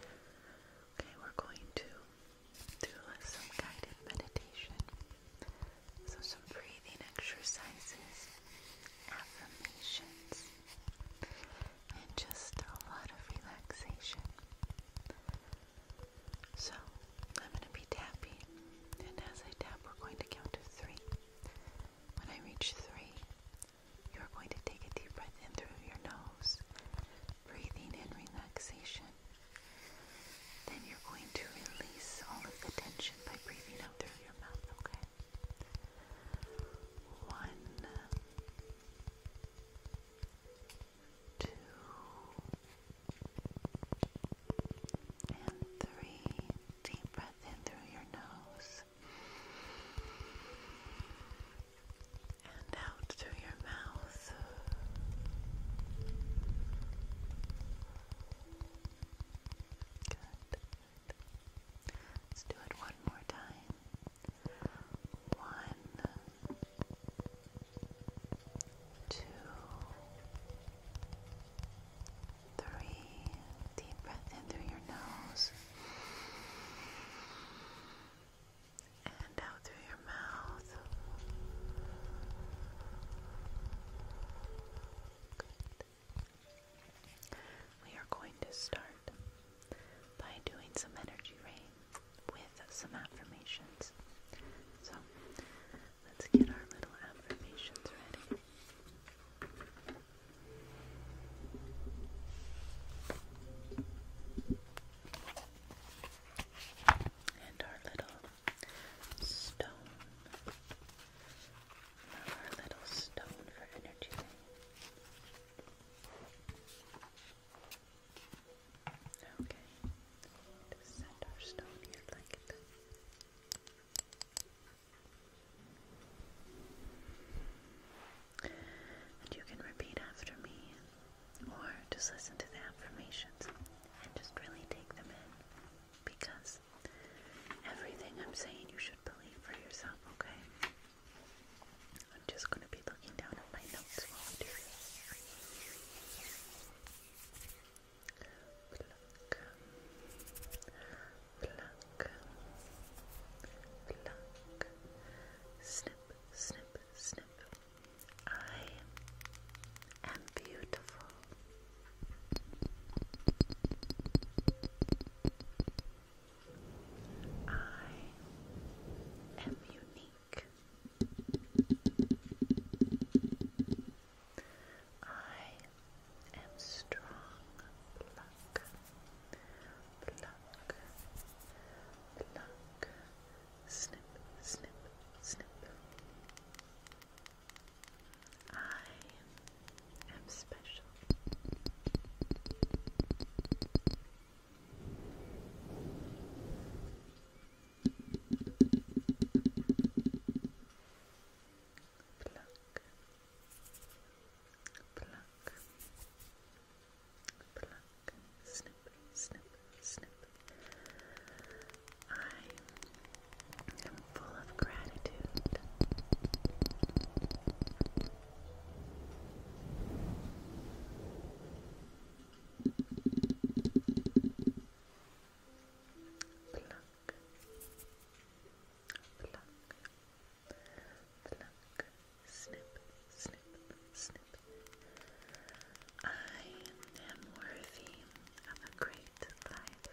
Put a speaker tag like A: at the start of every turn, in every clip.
A: Okay, we're going to do uh, some guided meditation. So, some breathing exercises, affirmations, and just a lot of
B: relaxation. So, I'm going to be tapping, and as I tap,
A: we're going to count to three. When I reach three, you are going to take a deep breath in through your nose, breathing in relaxation. Then you're going to release all of the tension by breathing out through your mouth, okay? One, two, and three. Deep breath in through your nose and out through your mouth. Good. Let's do it one more time. One, two, three. Deep breath in through your nose and out through your mouth. We are going to start by doing some energy rain with some affirmations. So let's get our little affirmations ready. And our little stone. Our little stone for energy. Okay. Just set our stone here like that. And you can repeat after me or just listen to the affirmations and just really take them in because everything I'm saying you should believe for yourself, okay? I'm just going to be looking down at my notes while I do this pluck, pluck, snip, snip, snip. I am beautiful.
B: I am unique. I am strong. Pluck, pluck, pluck. Snip, snip, snip. I am special pluck, pluck, pluck, snip, snip, snip. I am full of gratitude. Pluck, pluck, pluck, snip, snip, snip. I am worthy of a great life.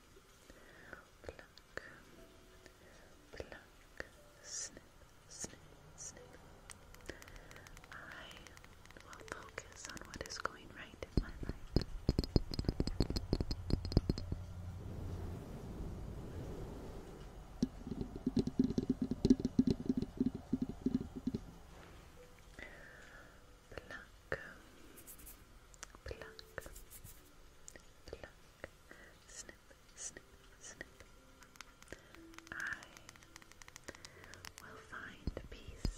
B: I will focus on what is going right in my life pluck, pluck, pluck, snip, snip, snip. I will find peace.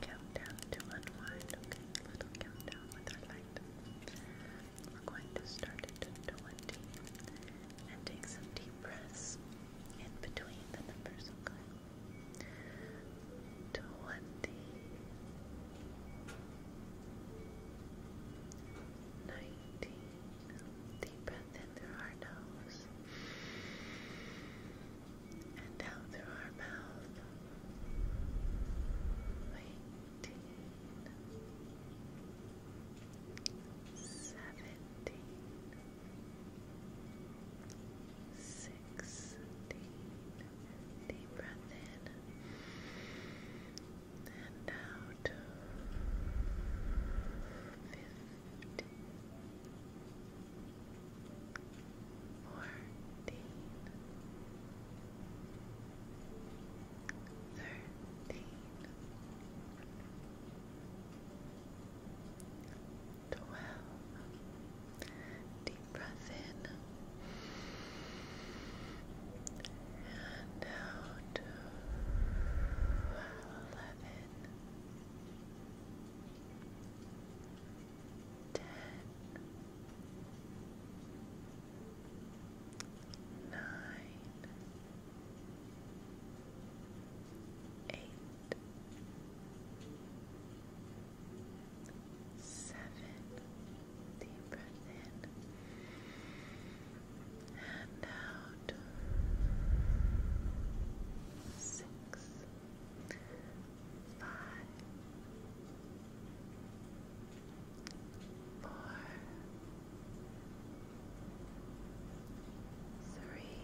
A: Countdown to unwind. Okay, a little countdown with our light. We're going to start at 20 and take some deep breaths in between the numbers, okay? twenty nineteen deep breath in through our nose and out through our mouth eighteen Seventeen, sixteen, sixteen. Deep breath in and out. Fifteen. Fourteen. Thirteen. Twelve. Deep breath in and out. Eleven, ten, nine, eight seven. Deep breath in and out. Six, five, four, three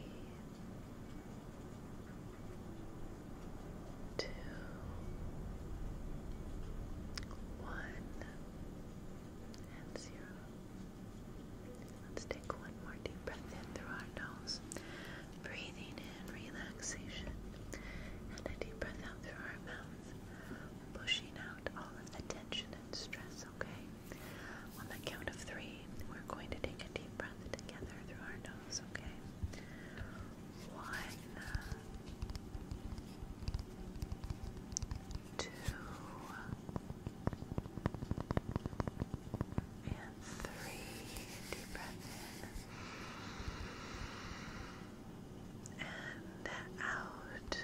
A: two, one, and zero. Let's take one more deep breath in through our nose, breathing in relaxation, and a deep breath out through our mouth, pushing out all of the tension and stress, okay? On the count of three, we're going to take a deep breath together through our nose, okay? One, two, and three. Deep breath in and out.